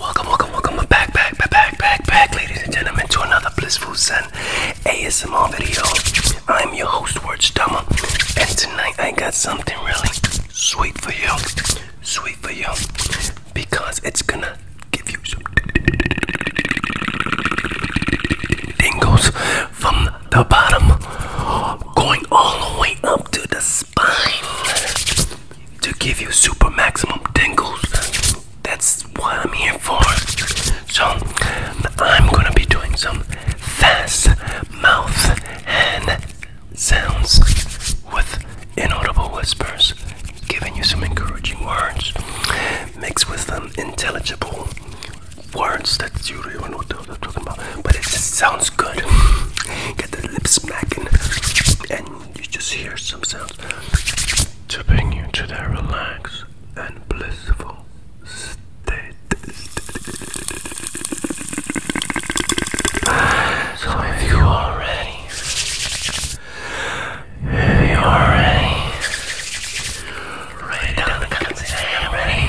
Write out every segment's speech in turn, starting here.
Welcome, welcome, welcome back, back, back, back, back, back, ladies and gentlemen, to another Blissful Sun ASMR video. I'm your host, Word Stummer, and tonight I got something really sweet for you, sweet for you, because it's gonna give you some dingles from the bottom going all the way up to the spine to give you super maximum tingles. That's what I'm here for. So, I'm gonna be doing some fast mouth and sounds with inaudible whispers, giving you some encouraging words mixed with some intelligible words that you don't even know what they're talking about, but it just sounds good. Get the lips smacking, and you just hear some sounds to bring you to that relaxed and blissful state. So if you are ready, if you are ready, write down the comments. Ready?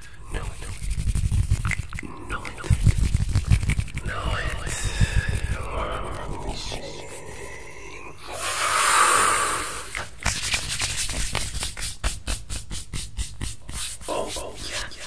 No, it. No, it. No, it. Oh, oh, yeah, yeah.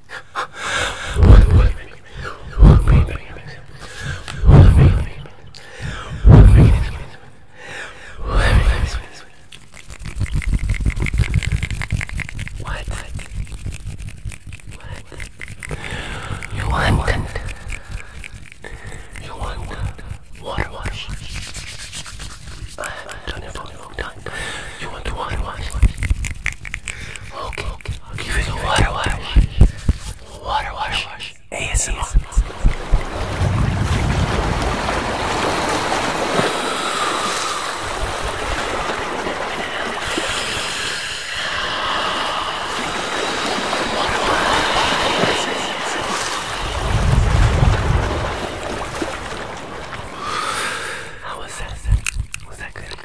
what? What? You want it? You want water wash? I have done it for a Okay, give it a water, water, water. Water, wash. ASMR. How was that? Was that good?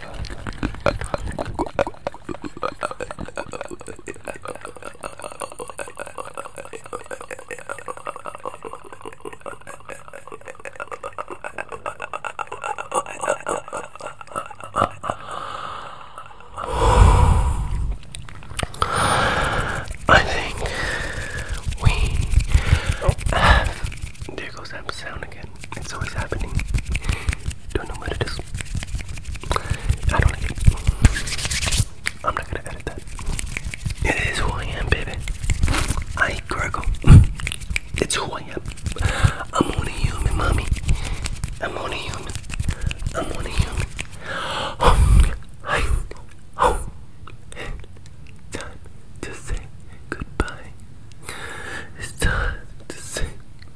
I think we have. There goes that sound again. It's always happening. Don't know what it is. I don't I'm not gonna edit that. It is who I am, baby. I ain't It's who I am. I'm only human, mommy. I'm only human. I'm only human. Oh, I, oh, time to say goodbye. It's time to say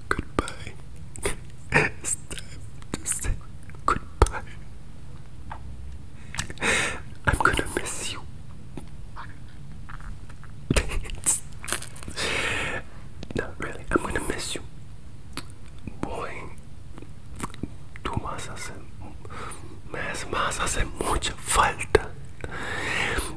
goodbye. it's time to say goodbye. I'm gonna miss you. Not really, I'm gonna miss you. Voy. Tú me haces, me haces mucha falta.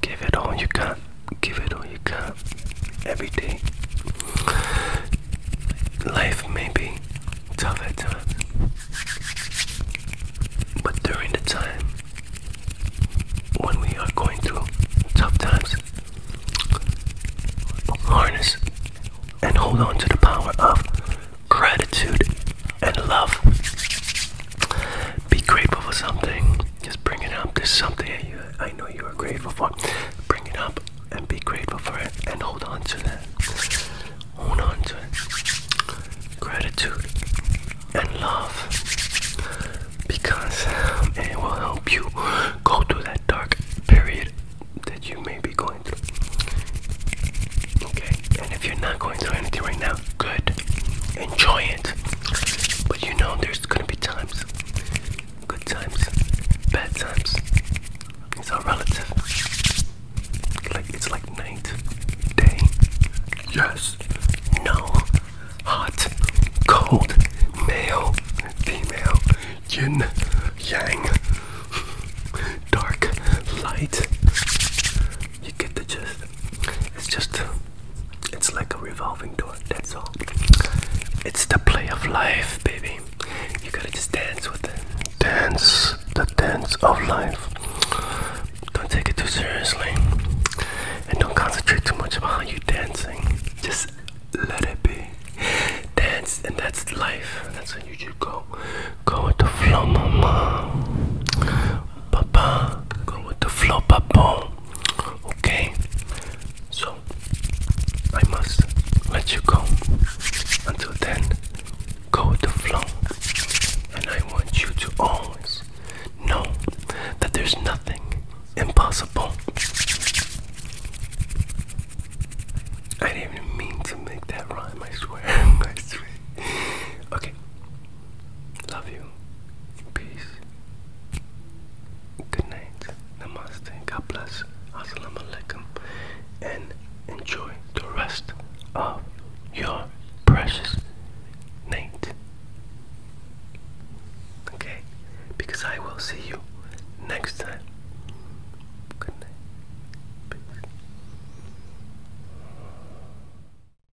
Give it all you can. Give it all you can. Every day. Life may be tough at times. But during the time when we are going through tough times, harness and hold on to the power of gratitude and love. Be grateful for something. Just bring it up. There's something that you, I know you are grateful for. Bring it up and be grateful for it and hold on to that. Hold on to it. Gratitude and love because um, it will help you go through that dark period that you may be going through. Okay, and if you're not going through anything right now, good. Enjoy it. But you know there's gonna be times. Good times, bad times. It's all relative. Like it's like night, day, yes, no, hot, cold, male, female, yin, yang, dark, light. You get the gist. It's just, it's like a revolving door, that's all. It's the play of life, baby. You gotta just dance with it. Dance, the dance of life. Don't take it too seriously. And don't concentrate too much on how you're dancing. Just let it be. Dance, and that's life. That's when you should go. Go with the flow, mama. Papa, go with the flow, Papa. Okay, so I must let you go. Until then, go with the flow. And I want you to always know that there's nothing impossible. I didn't mean to make that rhyme, I swear. Okay, Love you. Peace. Good night. Namaste. God bless. Assalamu alaikum. And enjoy the rest of your precious night. Okay? Because I will see you next time. Good night. Peace.